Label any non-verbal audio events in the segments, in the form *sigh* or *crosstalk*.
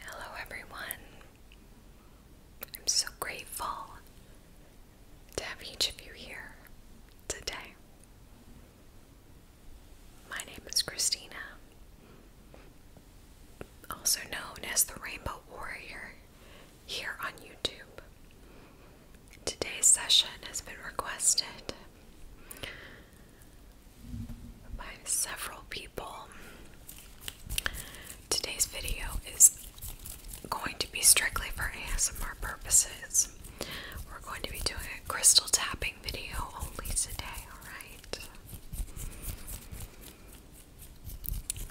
Hello, everyone. I'm so grateful to have each of you here today. My name is Christina, also known as the Rainbow Warrior, here on YouTube. Today's session has been requested by several people. Today's video is going to be strictly for ASMR purposes. We're going to be doing a crystal tapping video only today, alright?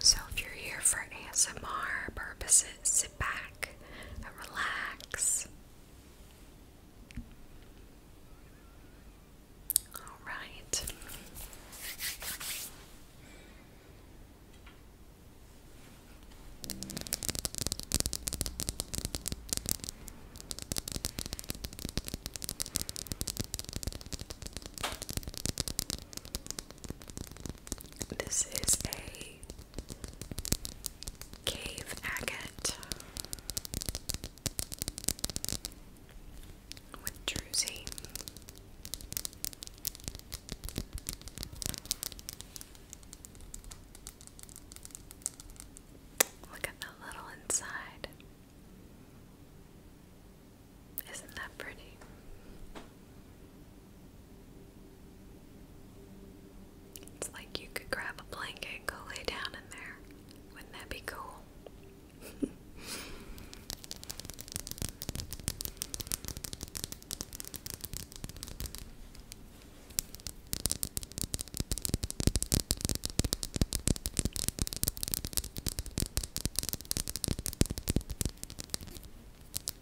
So if you're here for ASMR purposes, sit back and relax. All right. This is a Cave agate with druzy. Look at the little inside. Isn't that pretty? It's like you could grab a blanket and go lay down in there. Wouldn't that be cool? Excuse me. Okay.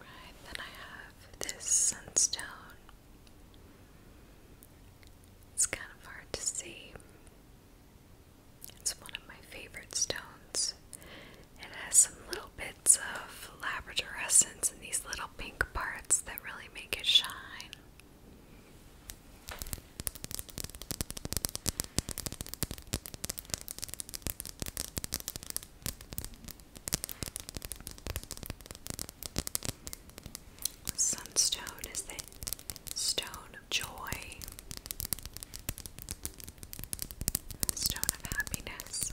Right, then I have this sunstone. It's kind of hard to see, it's one of my favorite stones. It has some little bits of Labrador essence in these little pink parts that really make it shine. Sunstone is the stone of joy, stone of happiness.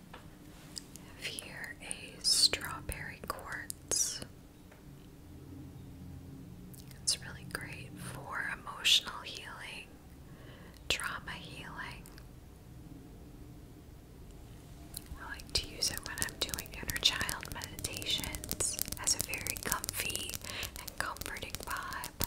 here a strawberry quartz. It's really great for emotional healing, trauma healing. I like to use it when I'm doing inner child meditations as a very comfy and comforting vibe.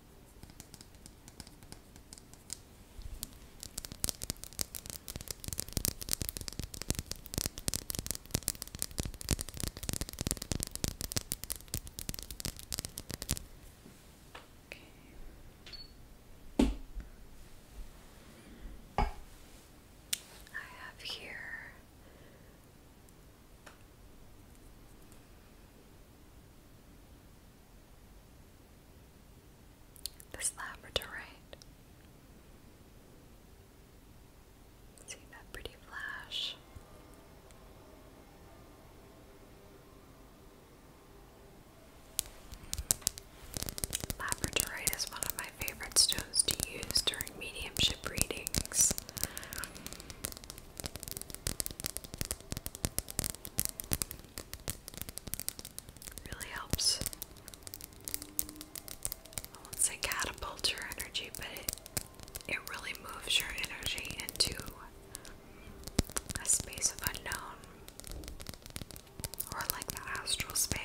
Okay. I have here this labradorite. See that pretty flash? Labradorite is one of my favorite stones to use during mediumship readings. Really helps. I won't say catapult your energy, but it it really moves your energy into a space of unknown. Or like the astral space.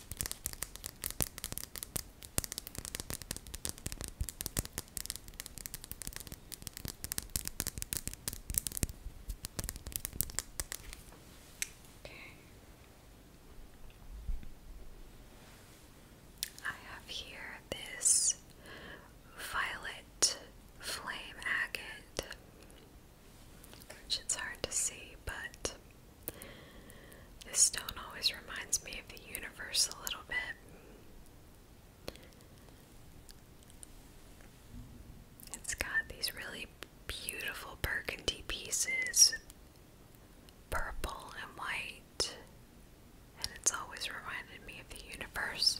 Okay. I have here this violet flame agate which it's hard to see, but this stone always reminds me of the universe a little bit. It's got these really beautiful burgundy pieces, purple and white, and it's always reminded me of the universe.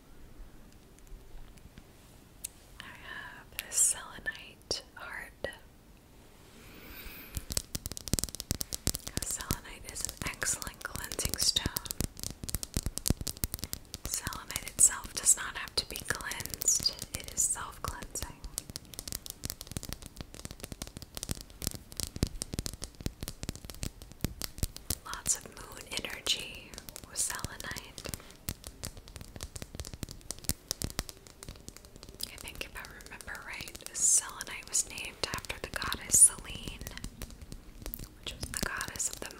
I have this selenite heart. Selenite is an excellent cleansing stone. Selenite itself does not have to be cleansed, it is self cleansing. Lots of moon energy with selenite. I think if I remember right, selenite was named after the goddess Selene, which was the goddess of the moon.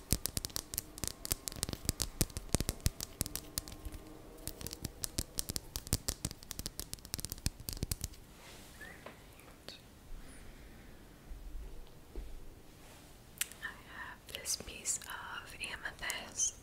I have this piece of amethyst.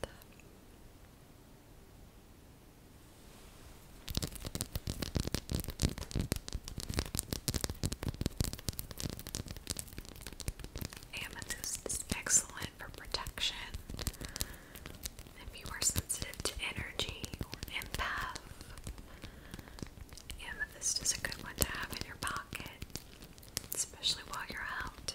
Amethyst is excellent for protection. If you are sensitive to energy or empath, amethyst is a good one to have in your pocket, especially while you're out.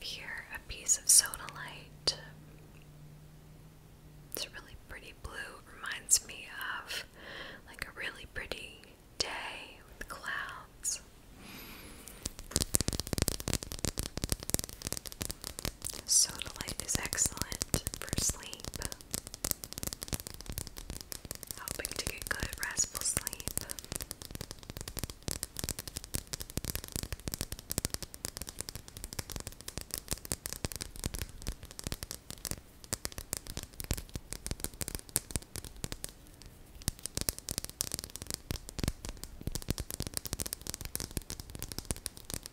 here a piece of soda light. It's really pretty blue. Reminds me of like a really pretty day with clouds light is excellent for sleep. Helping to get good, restful sleep.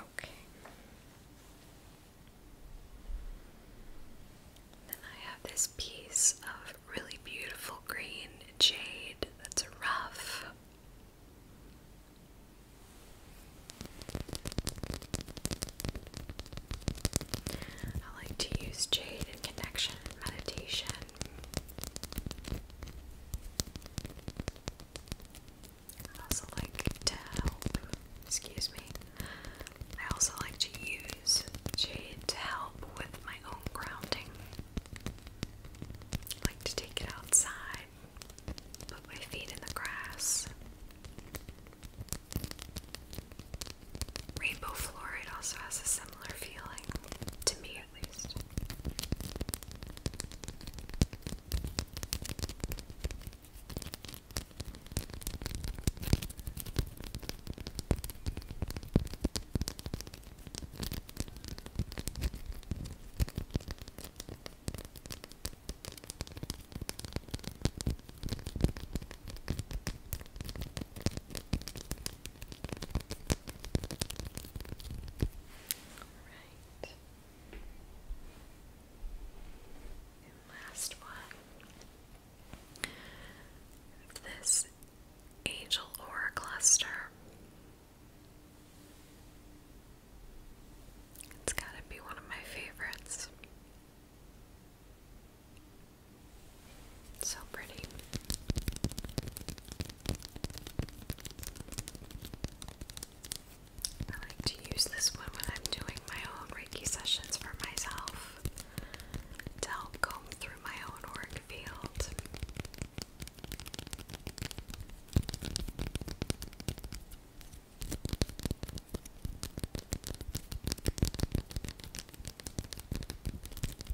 Okay. Then I have this piece of really beautiful green jade that's rough. I like to use jade in connection and meditation. I also like to help, excuse me, I also like to use jade to help with my own grounding. like to take it outside, put my feet in the grass. Rainbow Florid also has a similar feeling, to me at least. Alright. And last one. This angel aura cluster. It's gotta be one of my favorites. So pretty. I like to use this one when I'm doing my own Reiki sessions for myself to through my own auric field.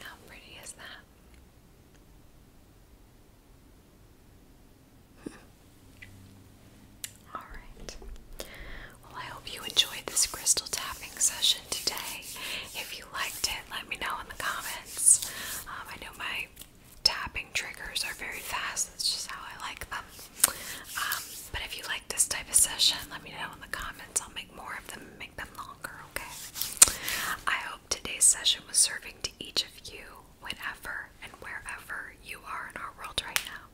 How pretty is that? *laughs* All right. Well, I hope you enjoyed this crystal tapping session today. If you liked it, let me know in the comments. Um, I know my tapping triggers are very fast. That's just how I like them. Um, but if you like this type of session, let me know in the comments. I'll make more of them make them longer, okay? I hope today's session was serving to each of you whenever and wherever you are in our world right now.